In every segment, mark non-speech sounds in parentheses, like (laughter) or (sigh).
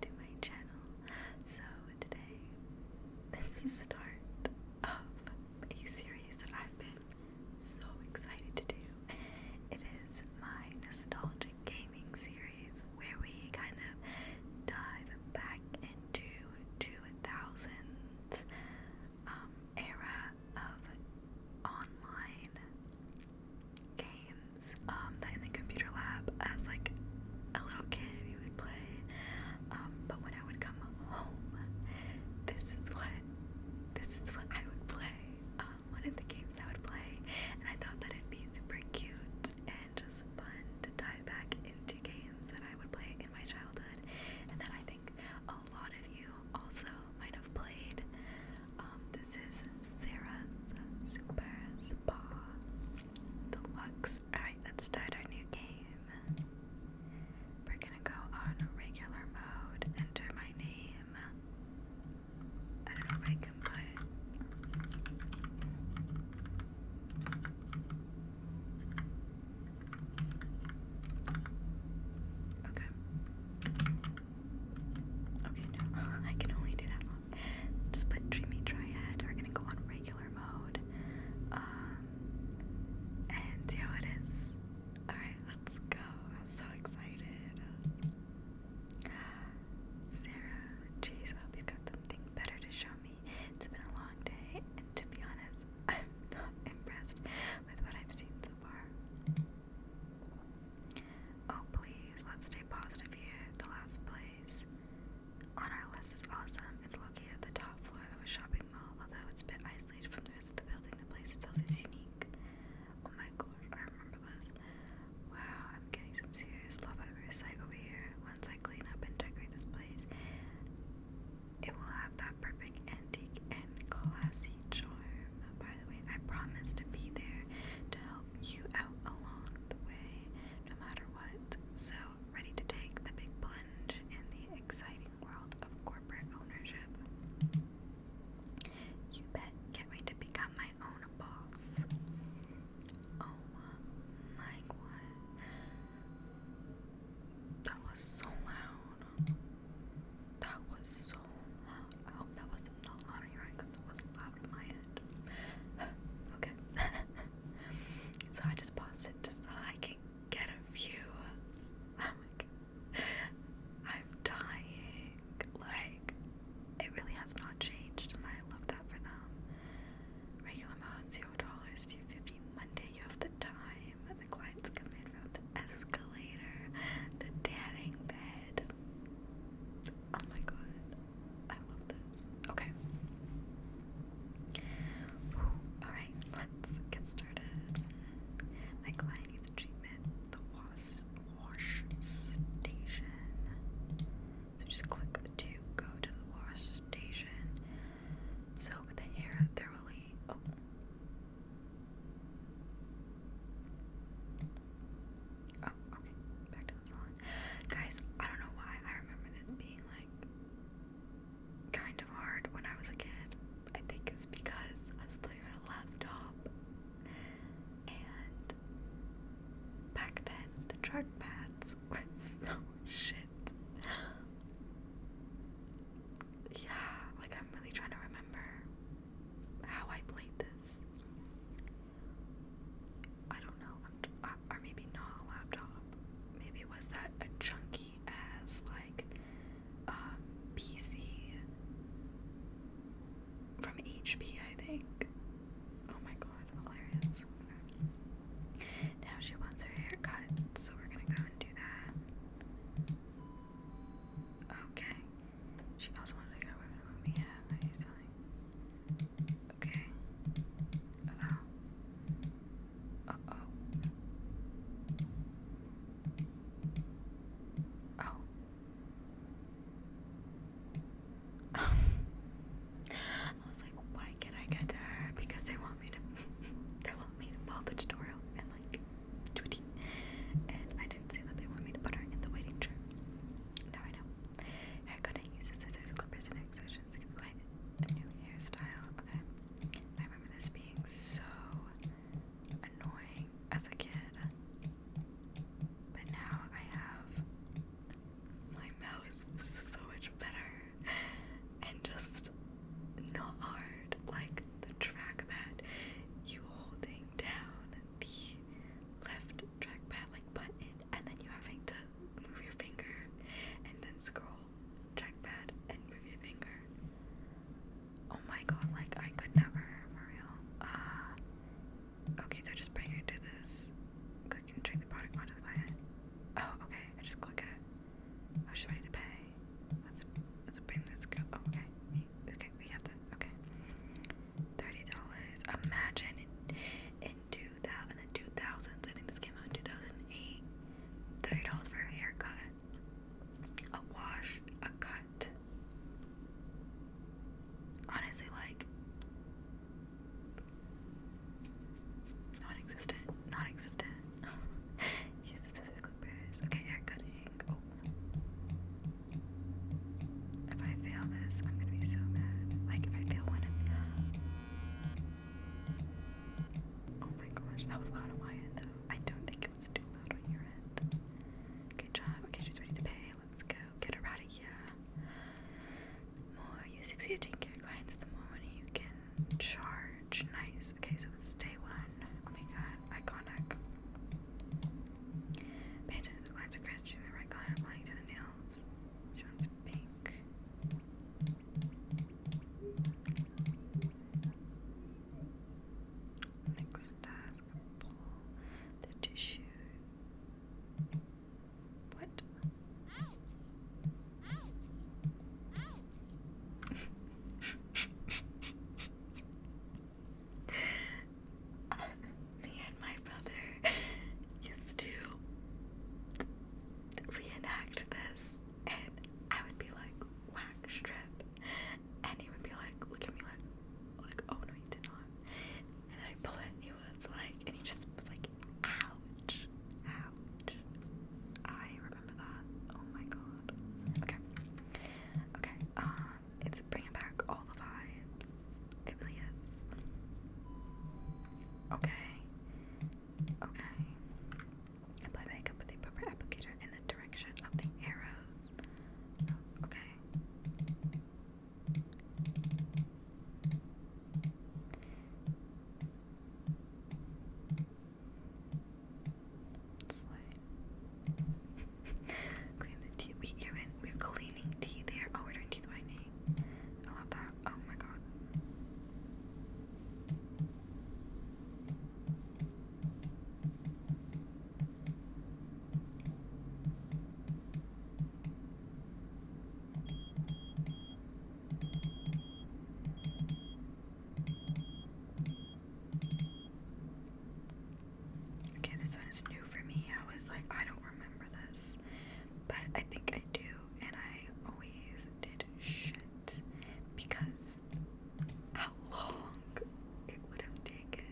to my channel. So today this is the start of a series that I've been so excited to do. It is my nostalgic gaming series where we kind of dive back into 2000s um, era of online games um, that in the computer lab as like a little kid we would play um, but when I would come home, this is what this is what I would play. Um, one of the games I would play, and I thought that it'd be super cute and just fun to dive back into games that I would play in my childhood, and then I think a lot of you also might have played. Um, this is Sarah's Super Spa Deluxe Alright, let's start our new game. We're gonna go on regular mode, enter my name. I don't know if I can put. Okay. Okay, no, (laughs) I can only do that Just put Dreamy Triad. We're gonna go on regular mode. Um, and see it is. Alright, let's go. I'm so excited. Sarah, jeez, I hope you got something better to show me. It's been a long day, and to be honest, (laughs) I'm not impressed with what I've seen so far. Oh, please, let's stay positive here. The last place. On our list is awesome. It's located at the top floor of a shopping mall, although it's a bit isolated from the rest of the building. The place itself is unique. Oh my gosh, I remember this. Wow, I'm getting some serious love at first over here. Once I clean up and decorate this place, it will have that perfect antique and classy charm. By the way, I promise to be there to help you out along the way, no matter what. So ready to take the big plunge in the exciting world of corporate ownership. You bet, can't wait to become my own boss. Oh my god. That was so loud. That was so loud. I hope that was not loud on your end because it was loud in my head. (sighs) okay. (laughs) So I just paused it just so I can get a view. Oh my god. I'm dying. Like, it really has not changed, and I love that for them. Regular mode, $0, dollars 2 50 Monday, you have the time. The clients come from the escalator, the tanning bed. Oh my god. I love this. Okay. Alright, let's get started. My client needs treatment. The was wash station. So just click to go to the wash station. So the hair thoroughly oh Oh, okay. Back to the salon. Guys, I don't know why I remember this being like kind of hard when I was a kid. I think it's because I was playing on a laptop, and back then the chart pads (laughs) were so shit. Yeah, like I'm really trying to remember how I played this. I don't know. I'm, or maybe not a laptop. Maybe it was that a chunky ass like um, PC from HP, I think. Oh my god, hilarious. Now she wants her hair so we're gonna go and do that. Okay. She also wanted to go over the Okay. Uh-oh. oh Oh. (laughs) I was like, why can't I get to her? Because they want me to (laughs) they want me to follow the tutorial and like do it. And I didn't see that they want me to put her in the waiting chair. Now I know. I couldn't use the scissors, clippers, and exercise options a new hairstyle. Okay. I remember this being so annoying as a kid. But now I have my mouse so much better and just not hard. Like the trackpad, you holding down the left trackpad like button and then you having to move your finger and then scroll trackpad and move your finger. Oh my god, like I could never for real. Uh, okay, so just bring it to this. Click and the product onto the client. Oh, okay, I just click it. I was just pay. Let's let's bring this go oh, okay. okay, we have to okay. Thirty dollars. Imagine two thousand in two thousands. I think this came out in two thousand eight. Thirty dollars for a haircut, a wash, a cut. Honestly, like non-existent, non-existent. (laughs) Use the scissors clippers. Okay, hair oh. If I fail this, I'm gonna be so mad. Like if I fail one Oh my gosh, that was loud on my end though. I don't think it was too loud on your end. Good job. Okay, she's ready to pay. Let's go. Get her out of here. more you succeed at taking care of clients, the more money you can charge. Nice. Okay, so it's day one. Oh my god, iconic. Pay attention to the clients' requests. Choose the right client applying to the nails. She wants pink. Next task, pull the tissue. What? (laughs) Me and my brother used to reenact this and I would be like wax strip and he would be like look at me like like oh no he did not and I pull it he was like and he just was like ouch ouch I remember that oh my god okay okay um it's bringing back all the vibes it really is okay Okay. Apply makeup with the appropriate applicator in the direction of the arrows. okay. (laughs) Clean the teeth. We even we're cleaning teeth there. Oh, we're doing teeth whitening. I love that. Oh my god. Okay, this one is new for me. I was like, I don't remember this, but I think I do, and I always did shit because how long it would have taken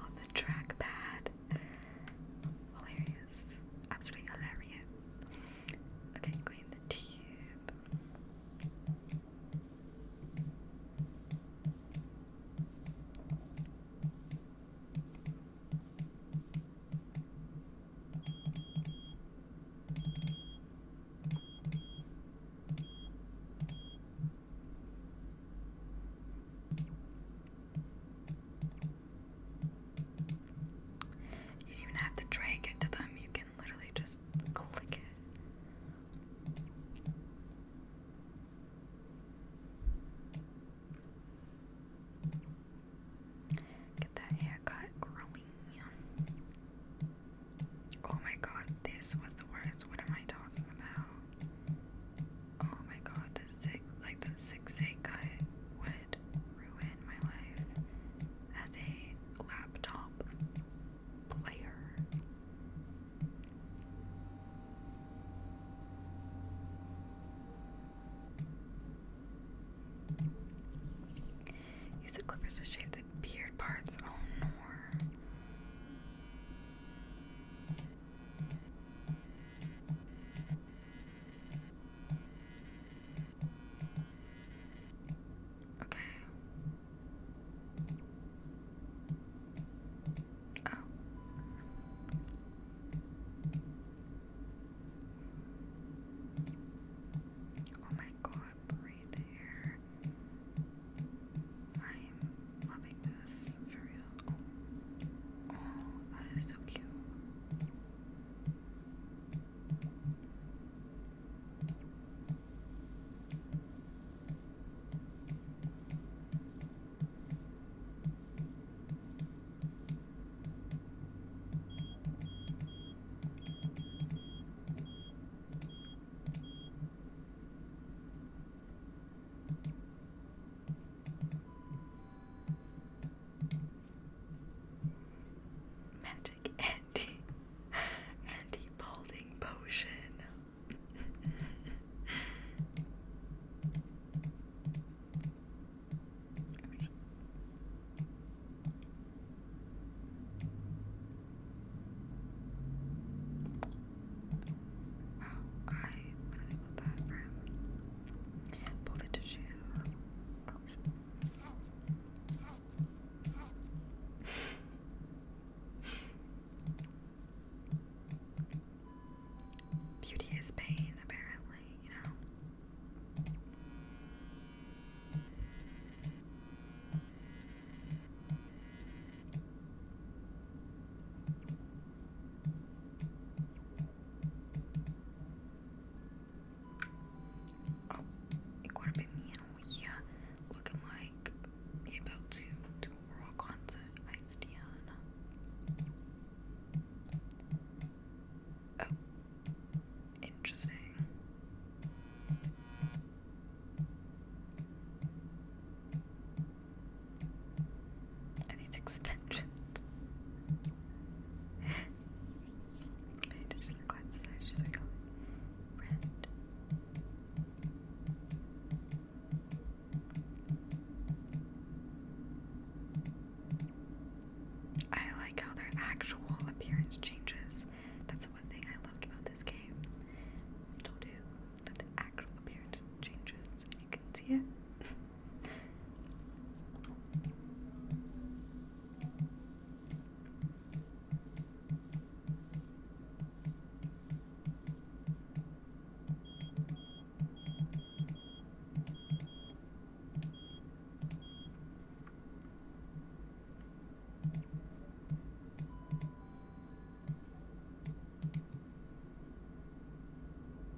on the trackpad. Hilarious. Absolutely hilarious. Okay, clean the teeth. You don't even have to drag it to them, you can literally just click it. Get that haircut growing. Oh my god, this was the worst. What am I talking about? Oh my god, the zig like the zigzag cut would ruin my life as a laptop player. Use the clippers to shave the beard parts. Oh no. Okay. Oh. Oh my god, breathe air. I'm loving this for real. Oh, that is so cute. Magic Andy Andy Balding Potion. (laughs) Wow, I really that for him. the tissue. (laughs) Beauty is pain, apparently, you know. Oh, it could have looking like about to do a rock concert. It's Diana. Oh, Interesting. these extensions? (laughs) Pay attention to the she's like, red. I like how their actual appearance changes. That's the one thing I loved about this game. Still do. That the actual appearance changes and you can see it.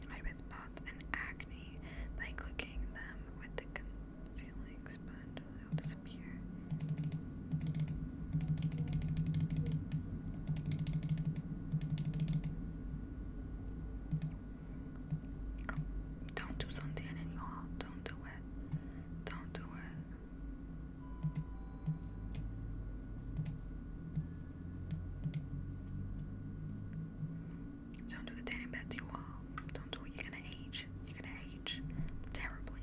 Hide with spots and acne by clicking them with the concealing sponge, they'll disappear. Don't do something in your home. Don't do it. Don't do it. Don't do the tanning bed to your wall. Don't do it. You're gonna age. You're gonna age terribly.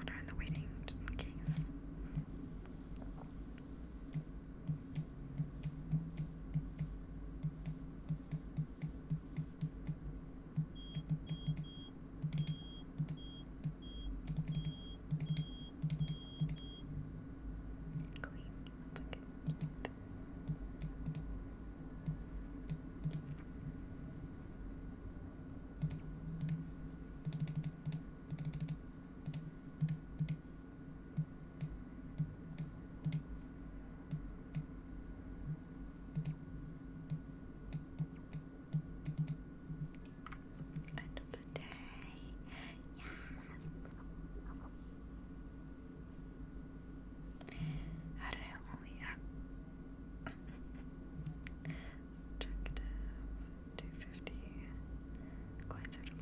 Put her in the waiting just in case. Clean bucket. End of the day. Yeah. I don't only uh, Objective 250. Coins 11.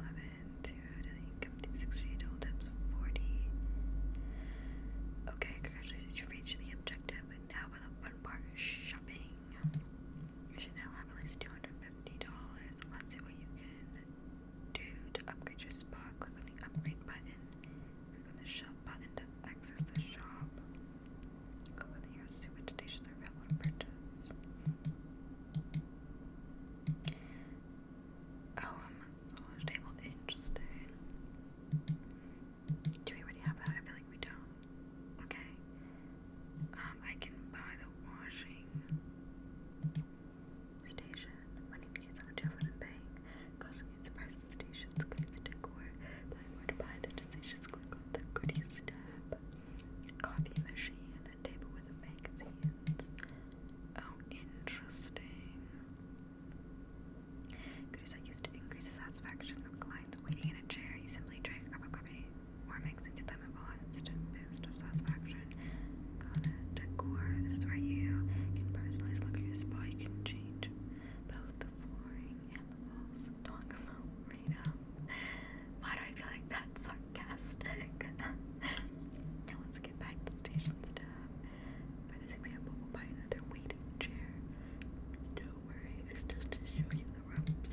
To daily 60. Total tips 40. Okay, congratulations, you reached the objective. now for the fun part shopping. You should now have at least $250. Let's see what you can do to upgrade your spot. Click on the upgrade button Click on the shop button to access the shop. Click over here, see which stations are available to purchase. Oh, a massage table. Interesting. Do we already have that? I feel like we don't. Okay. Um, I can buy the washing station. I need to get someone to open bank. Cost the price stations, goodies decor, buy more buy the decisions, goodies tab, coffee machine, a table with a magazines. Oh, interesting. Goodies are used to increase the satisfaction of clients waiting in a chair. You simply drink a cup of coffee or mix into them a instant boost of satisfaction. decor. This is where you can personalize look at your spa. can change both the flooring and the walls talk about freedom. Why do I feel like that's sarcastic? (laughs) let's get back to station staff. For this example, we'll buy another waiting chair. Don't worry, just to show you the ropes.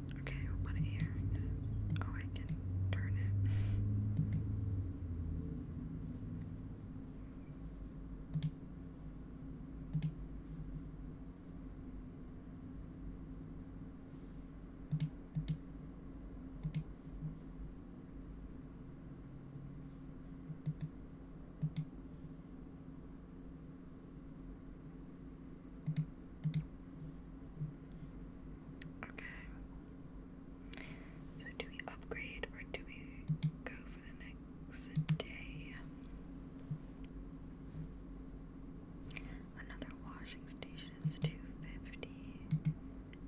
Okay, what ear is. Oh, I can turn it. Okay. So do we upgrade or do we go for the next day? Another washing station is two fifty.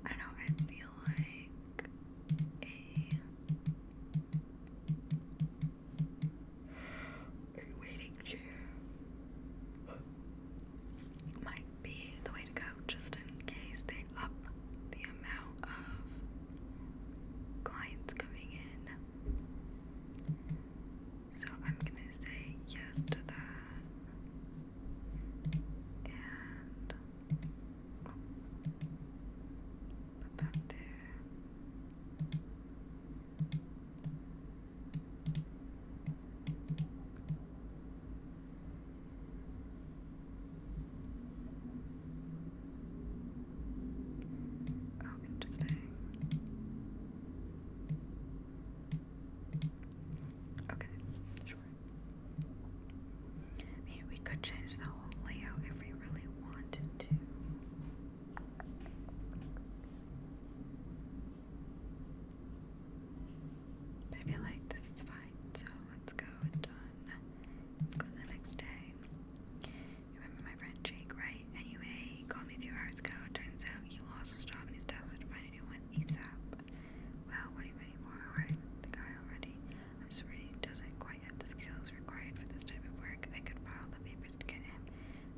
I don't know, I feel like a waiting chair. My be the way to go just in case they up the amount of clients coming in. So I'm gonna say yes to that. And put that there. Oh, interesting. Okay, sure. I we could change the whole layout if we really wanted to. I feel like this is fine, so let's go. Done. Let's go the next day. remember my friend Jake, right? Anyway, he called me a few hours ago. Turns out he lost his job and he's desperate to find a new one ASAP. Well, what are you waiting for? Alright, the guy already. I'm sorry, he doesn't quite have the skills required for this type of work. I could file the papers to get him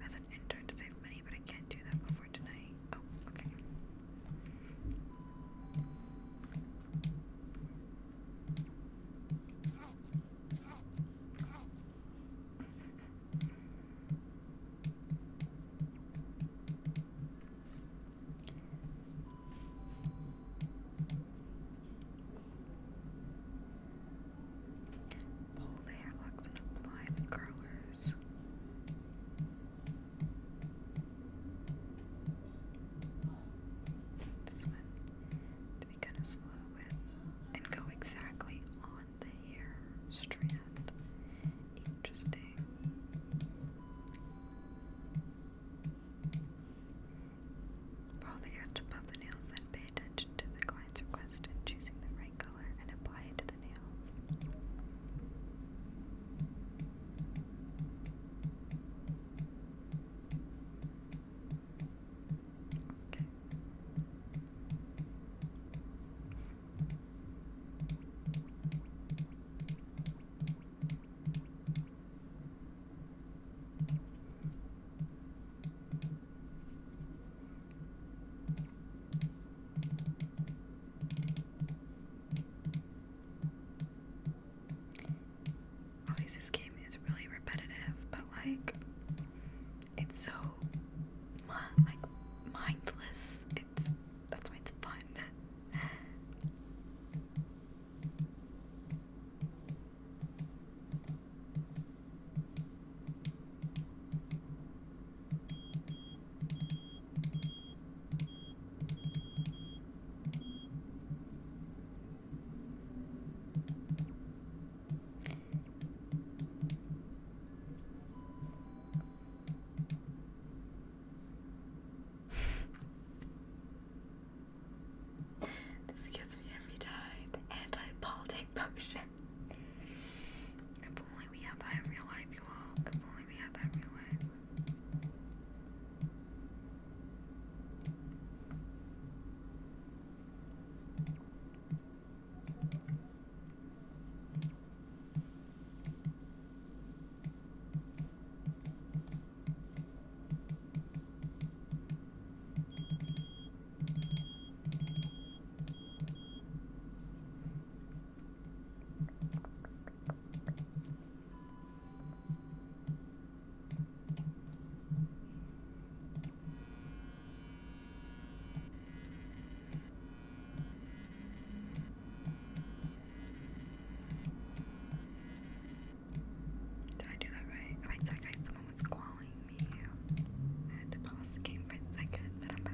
as an intern to save money, but I can't do that before. Oh, Pull the hair locks and apply the curlers. This one to be kind of slow with and go exactly on the hair strand. Interesting. Follow the hairs above the nails and pay attention to the client's request in choosing the right color and apply it to the nails. Always, this game is really repetitive, but like, it's so like mindless. It's that's why it's fun this gets me every time. The anti-politic potion. (laughs) we have that real life, you all. If only we had that real life. Did I do that right? Wait second, someone was calling me. I had to pause the game for a second, but I'm back.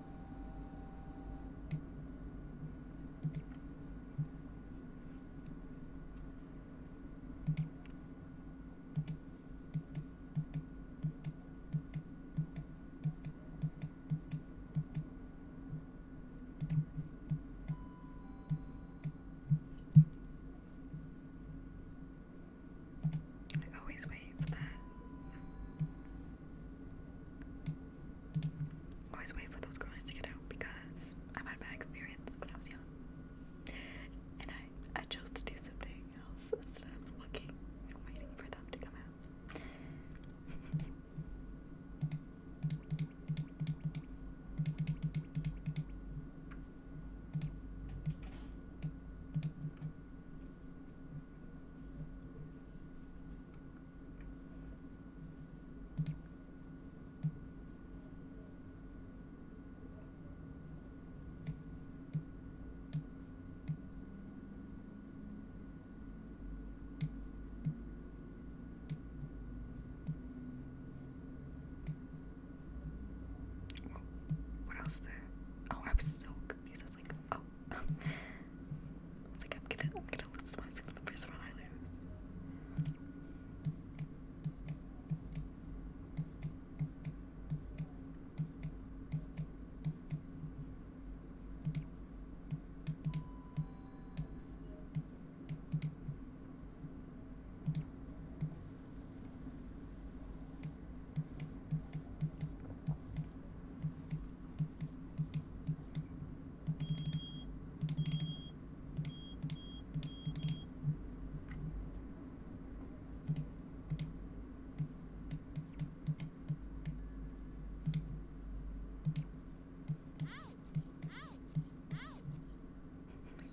I always wait for that Always wait for those girls to get out because i had a bad experience when I was young. And I, I chose to do something else instead of looking and waiting for them to come out. What else there? Oh, I am so confused. I was like, oh, I am gonna, lose my gonna lose myself for the first one I lose.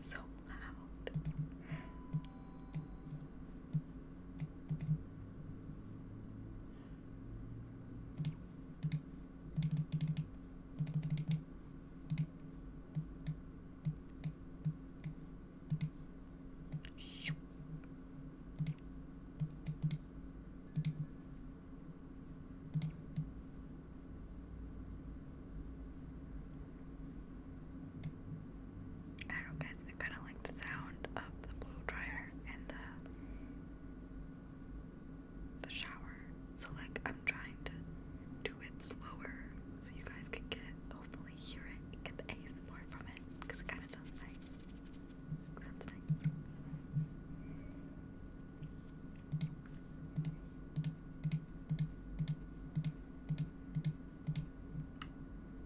So loud. I don't know I kinda like the sound of the blow dryer and the the shower. So like I'm trying to do it slower so you guys can get hopefully hear it, get the ASMR from it, because it kinda sounds nice. Sounds nice.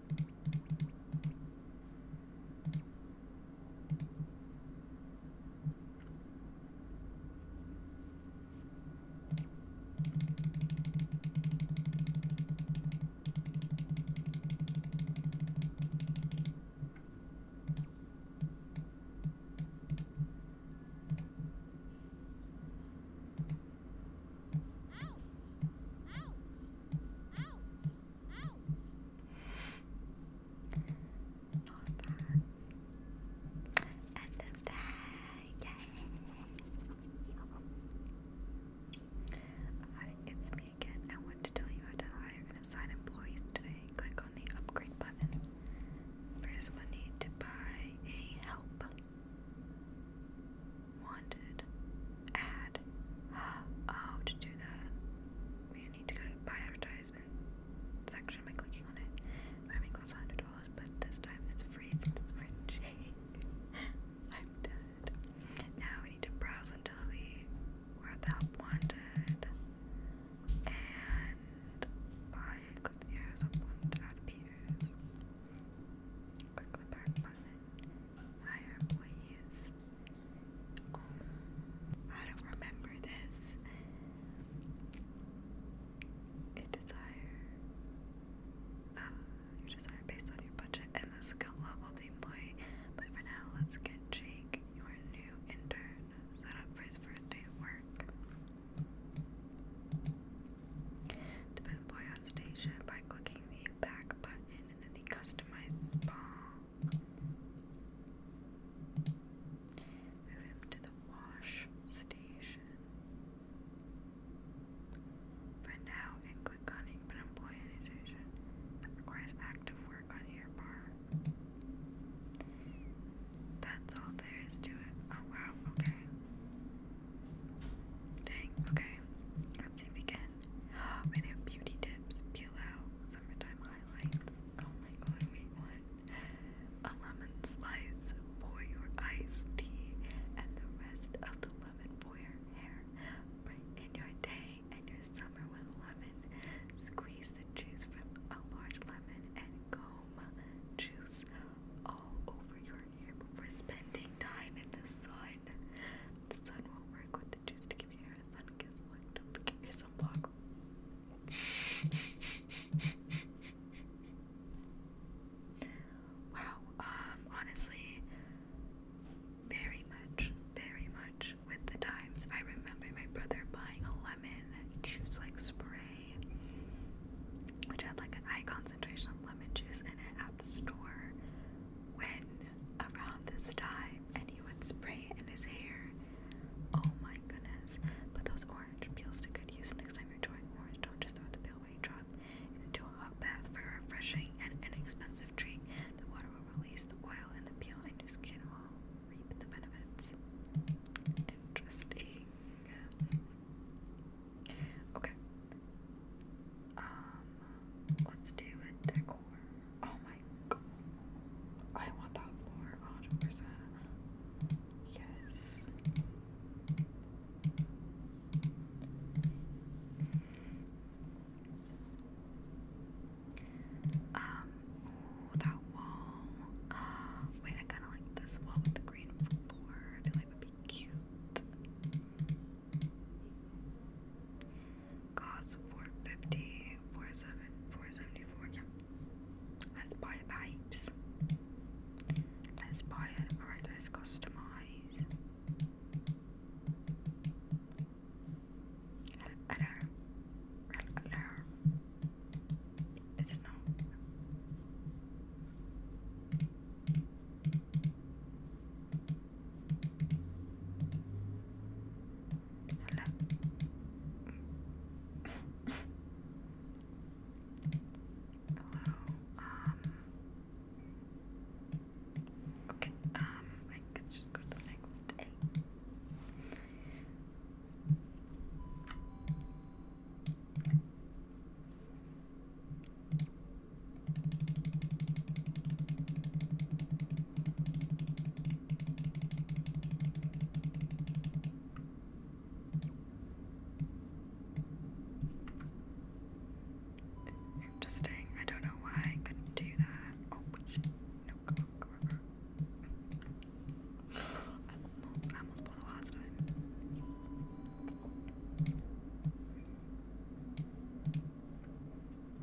Ouch! Ouch! Ouch! Hi, it's me again. I want to tell you how to hire and assign employees today. Click on the upgrade button. First, need to buy a help. Wanted ad. Uh, oh, to do that, we need to go to buy advertisement section by clicking on it. Maybe costs $100, but this time it's free since it's orange (laughs) I'm dead. Now we need to browse until we were at the help And buy because the air is up on the higher employees. Um, I don't remember this. Your desire, uh, your desire based on your budget and the skill level of the employee. But for now, let's get Jake, your new intern, set up for his first day at work. Depend employee on station by clicking the back button and then the customize spawn Move him to the wash station. Print now and click on Input Employee requires active work on your part. That's all there is to it. Oh wow, okay. Dang, okay. Let's see if (gasps) Were beauty tips? Peel out summertime highlights. Oh my god, wait, what? A lemon slice for your iced tea and the rest of the lemon for your hair. Brighten your day and your summer with lemon. Squeeze the juice from a large lemon and comb juice all over your hair before spending time in the sun. The sun will work with to to give your a sun kiss look. Don't forget sunblock. (laughs) wow, um, honestly, very much, very much with the times. I remember my brother buying a lemon juice like spray, which had like an high concentration of lemon juice in it at the store when around this time and he would spray in his hair. Oh my goodness. But those orange peels to good use next time you're trying orange. Don't just throw the peel away. Drop it into a hot bath for a refreshing and inexpensive treat. The water will release the oil and the peel, and your skin will reap the benefits. Interesting. Okay. Um, Let's do a decor. Oh my god. I want that floor 100 Yes. Um, that wall. (gasps) wait, I kind of like this wall with the green floor. I feel like it would be cute costs 450 47 yeah let's buy it let's buy it all right let's customize hello hello is this not Hello. Hello. Um. Okay. Um. let's just go to the Interesting. I don't know why I couldn't do that. Oh, no, I almost, I almost pulled last time.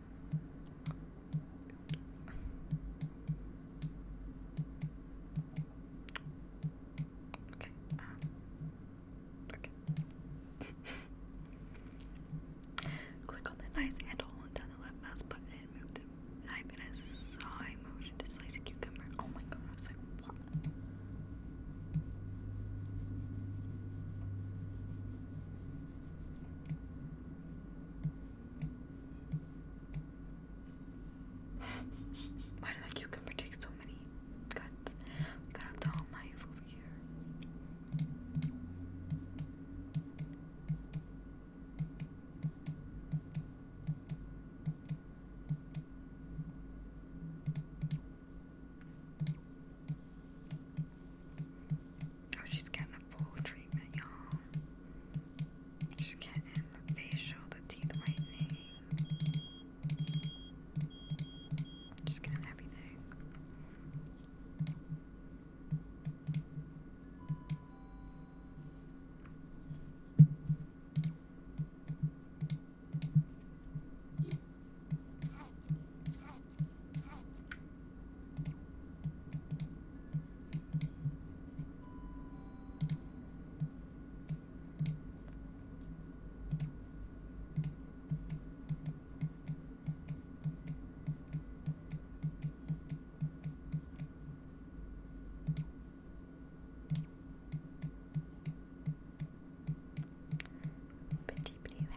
Okay. Um, okay. (laughs) Click on the nice handle, hold down the left mouse button, move the knife in a side motion to slice a cucumber. Oh my god, I was like, what? Why did that cucumber take so many cuts? We got a dull knife over here. Oh, she's getting a full treatment, y'all. She's getting the facial, the teeth whitening. She's getting everything. Pretty blue hair.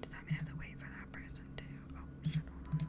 Does that mean I have to wait for that person to? Oh, shit, hold on.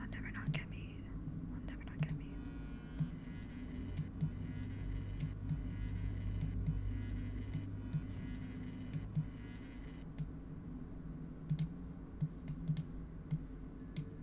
I'll never not get me. I'll never not get me.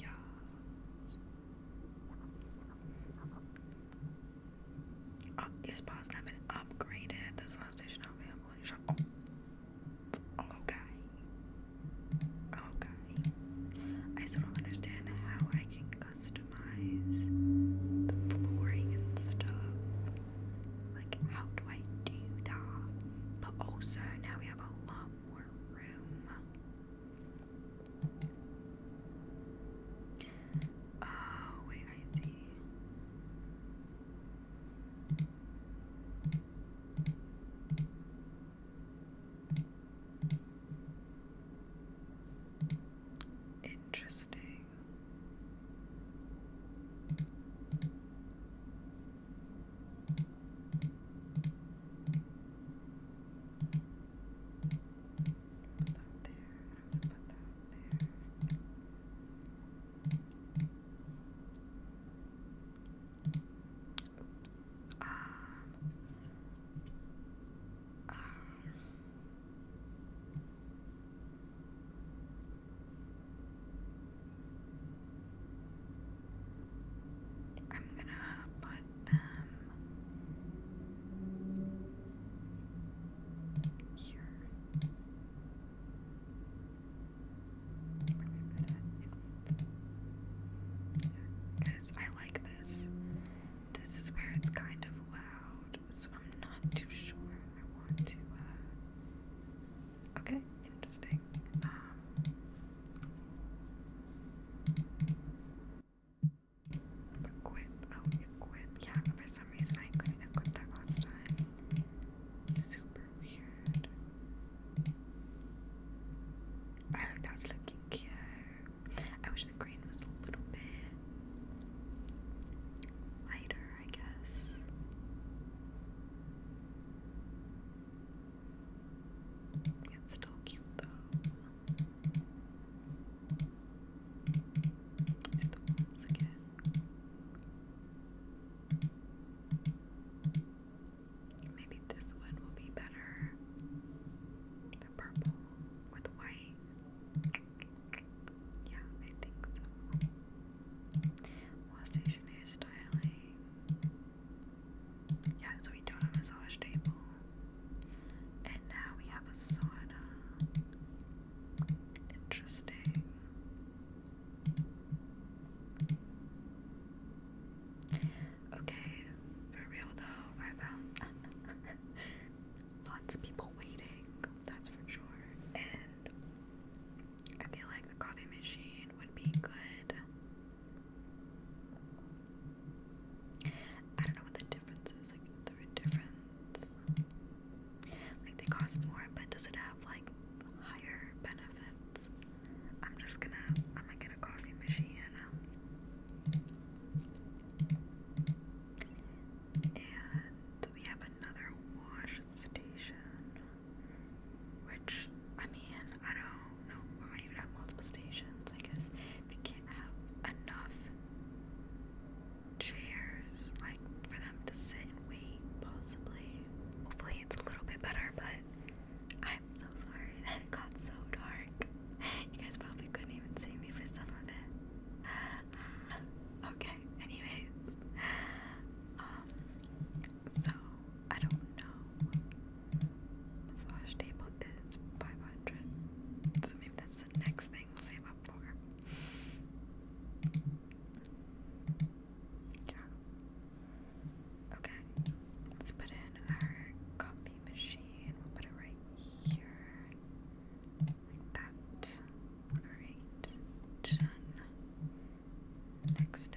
Yeah. Oh, your spot's not been upgraded. That's the last station i Okay. Okay. I still don't understand how I can customize the flooring and stuff. Like, how do I do that? But also, now we have a lot more room. Oh, wait, I see. Interesting that there. put that there. Oops. Um, um. I'm gonna put them here. Because I like this. This is where it's kind of loud, so I'm not too sure I want to. Uh, okay, interesting. Um, Equip. Oh, equip. Yeah, for some reason I couldn't equip that last time. Super weird. Oh, that's looking cute. I wish the green was a little bit lighter, I guess. It's still cute though. See again. Maybe this one will be better. The purple with white. Yeah, I think so. While well, styling. Yeah, so we don't have a massage table. And now we have a sauna. Interesting. Okay, for real though, I found (laughs) lots of people waiting, that's for sure. And I feel like a coffee machine would be good. I don't know what the difference is. Like, is there a difference? Like, they cost more, but does it have like higher benefits? I'm just gonna. I'm gonna get a coffee machine. And we have another wash station. Which, I mean, I don't don't know have multiple stations. I guess if you can't have enough chairs, like for them to sit and wait, possibly. Hopefully, it's a little bit better, but I'm so sorry (laughs) that it got so dark. You guys probably couldn't even see me for some of it. (sighs) Okay, anyways. Um, so I don't know. Massage table is 500. So maybe that's the next thing we'll save up for. Yeah. Okay. Let's put in our coffee machine. We'll put it right here. Like that. Alright. Done. Next day.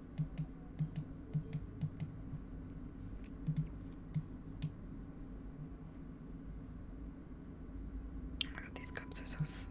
Oh my God, these cups are so small.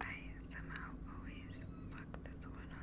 I somehow always fuck this one up.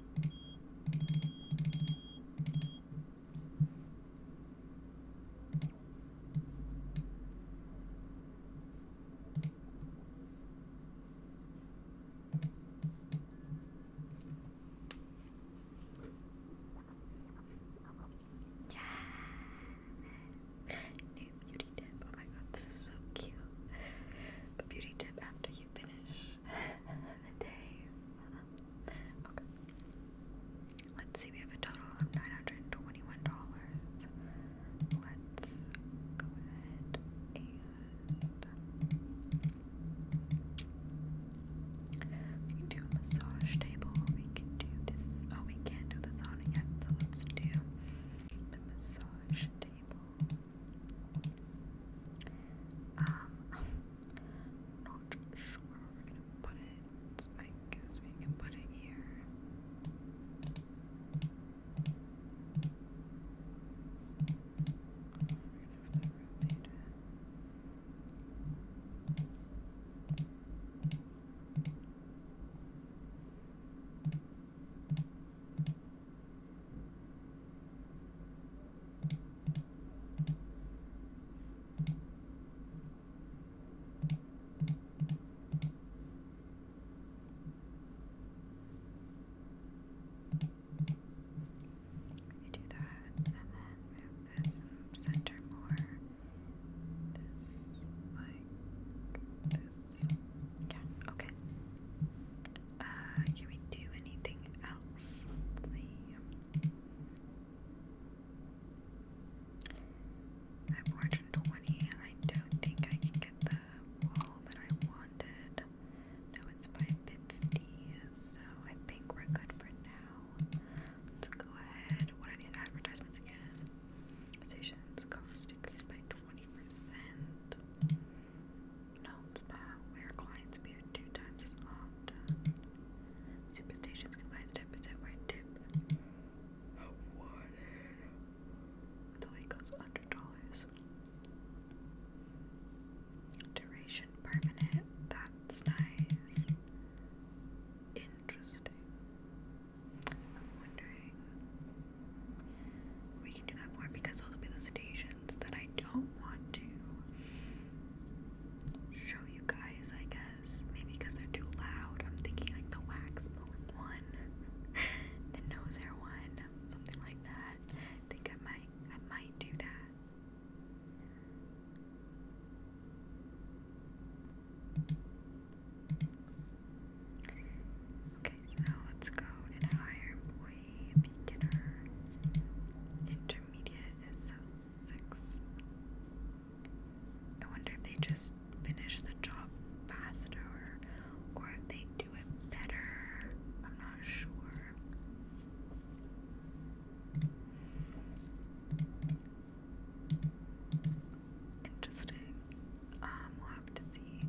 Yeah. New beauty tip. Oh my god, this is so cute. A beauty tip after you finish (laughs) the day. okay. Let's see, we have a total of $921. Let's go ahead and we can do a massage table. We can do this. Oh, we can't do the sauna yet, so let's do the massage table. Um, (laughs) i not sure where to put it. I guess we can put it here. You do that, and then center more. This, like this. Yeah, okay. Uh, can we do anything else? Let's see. I have 420. I don't think I can get the wall that I wanted. No, it's by 50, so I think we're good for now. Let's go ahead. What are these advertisements again? Stations cost decreased by 20%. Known spa, where clients appear two times as often. Superstitions combines 10% tip of water. The lake goes under dollars. Duration permanent. That's nice. Interesting. I'm wondering we can do that more because those will be the stations that I don't want to show you guys, I guess. Maybe because they're too loud. I'm thinking like the wax blowing one, (laughs) the nose hair one, something like that. think I might I might do that. Okay, so let's go and hire boy beginner. Intermediate is six. I wonder if they just finish the job faster or if they do it better. I'm not sure. Interesting. Um, we'll have to see.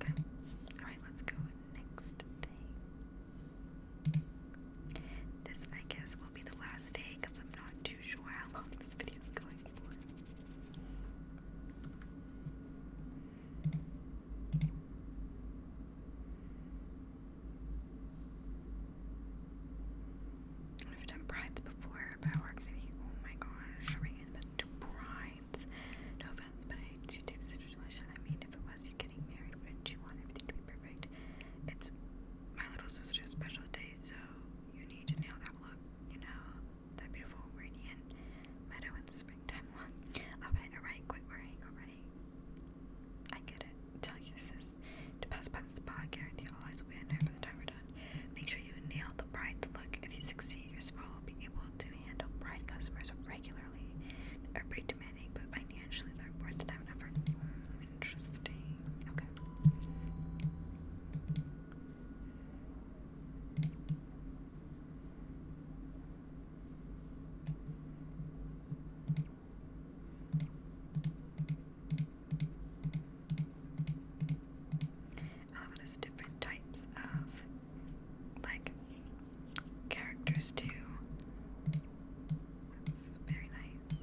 Okay. Alright, let's go next thing. This, I guess, will be the last day because I'm not too sure how long this video is going for. I've done brides before, but we're gonna be, oh my gosh, we gonna be to bride lines. No offense, but I hate to take the situation. I mean, if it was you getting married, wouldn't you want everything to be perfect? It's my little sister's special day, so you need to nail that look, you know, that beautiful radiant meadow in the springtime look. Alright, alright, quit worrying already. I get it. Tell your sis to pass by the spot, guarantee all eyes will be on there by the time we're done. Make sure you nail the bride's look. If you succeed, your spa will be able to handle Pride customers regularly. They're pretty demanding, but financially they're worth the time and effort. interesting. Okay um, and different types of like characters too. That's very nice.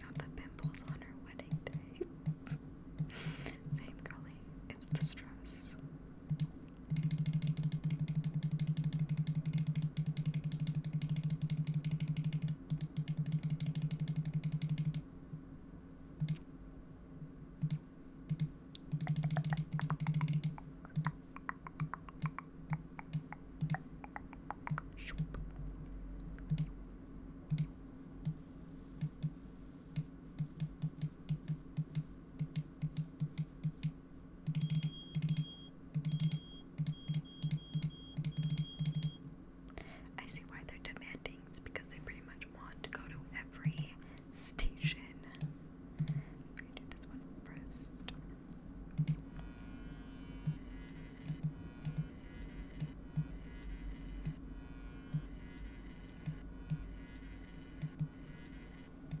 Not the pimples on her same golly, it's the stress. I see why they're demanding, it's because they pretty much want to go to every station. I'm do this one first.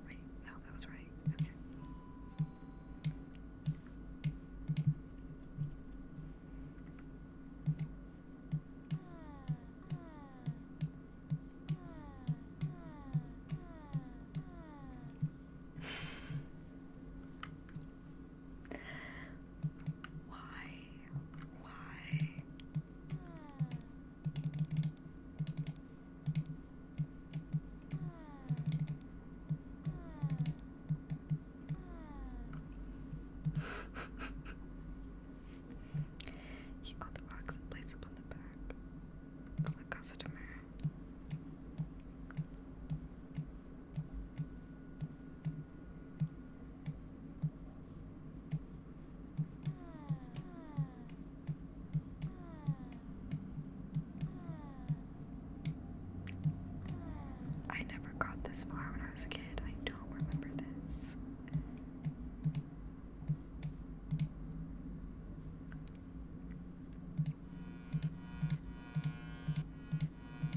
Wait, no, that was right. Okay. Why? Why? he on the rocks and place them the back of customer. I never got this far when I was a kid. I don't remember this.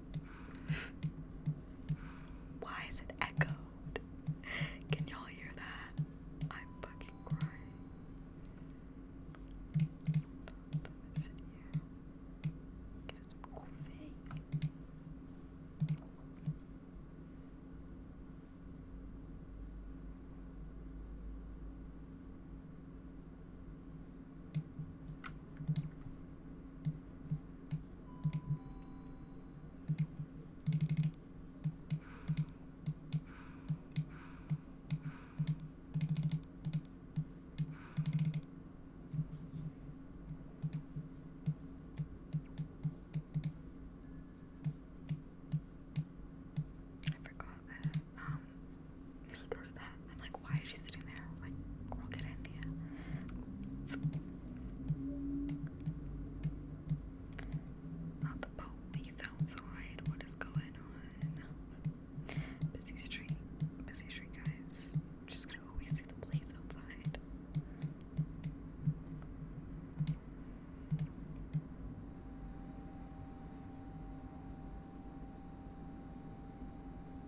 (laughs) Why is it echoed? Can y'all hear that? I'm fucking crying. Let's sit here. Get some coffee. I forgot that um he does that I'm like, why is she sitting there? Like, girl, get in there. Not the police outside. What is going on? Busy street. Busy street, guys. just gonna always see the police outside.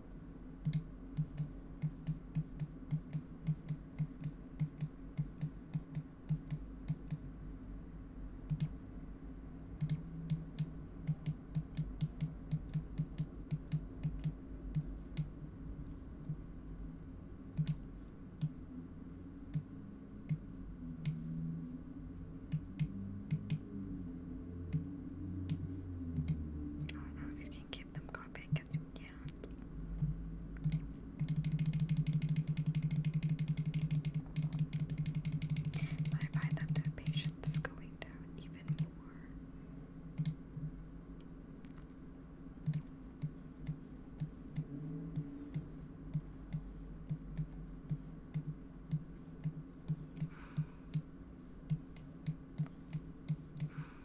I don't know if you can give them copy because you can I find that the patience is going down even more.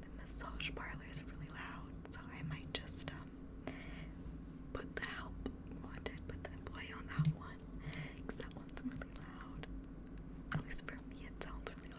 The massage parlor is really loud, so I might just um, put the help wanted, put the employee on that one one, because really loud. At least for me, it sounds really loud.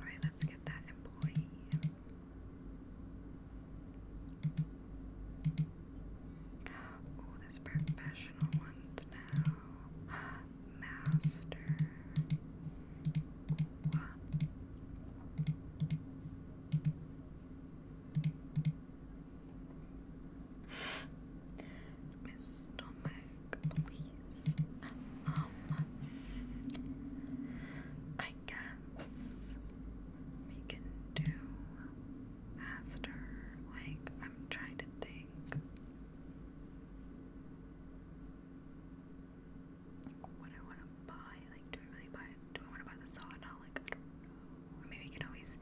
All right, let's get that employee. Oh, there's professional ones now master. Wow. My stomach, please. Um, I guess we can do master. Like, I'm trying to think what I want to buy. Like, do I really buy Do I want to buy the sauna? Like, I don't know. maybe I can always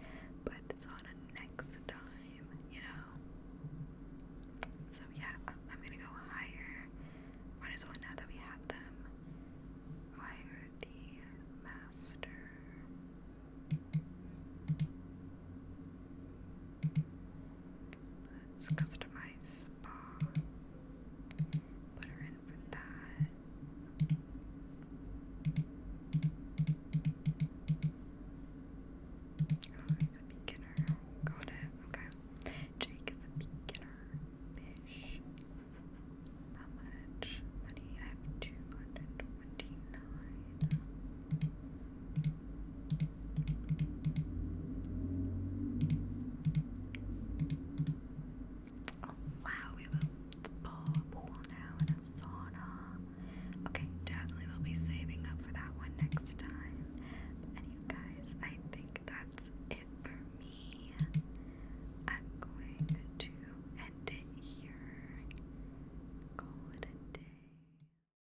buy the sauna next time, you know? So, yeah, I'm, gonna go higher. Might as well now that we have them. Hire the master. Let's customize spa. Put her in for that. Oh, he's a beginner. Got it. Okay. Jake is a beginner. Fish. How much money? I have 229. Oh, wow, we have a pool now and a sauna. Okay, definitely we'll be saving up for that one next time. But anyway, guys, I think that's it for me. I'm going to end it here. Call it a day.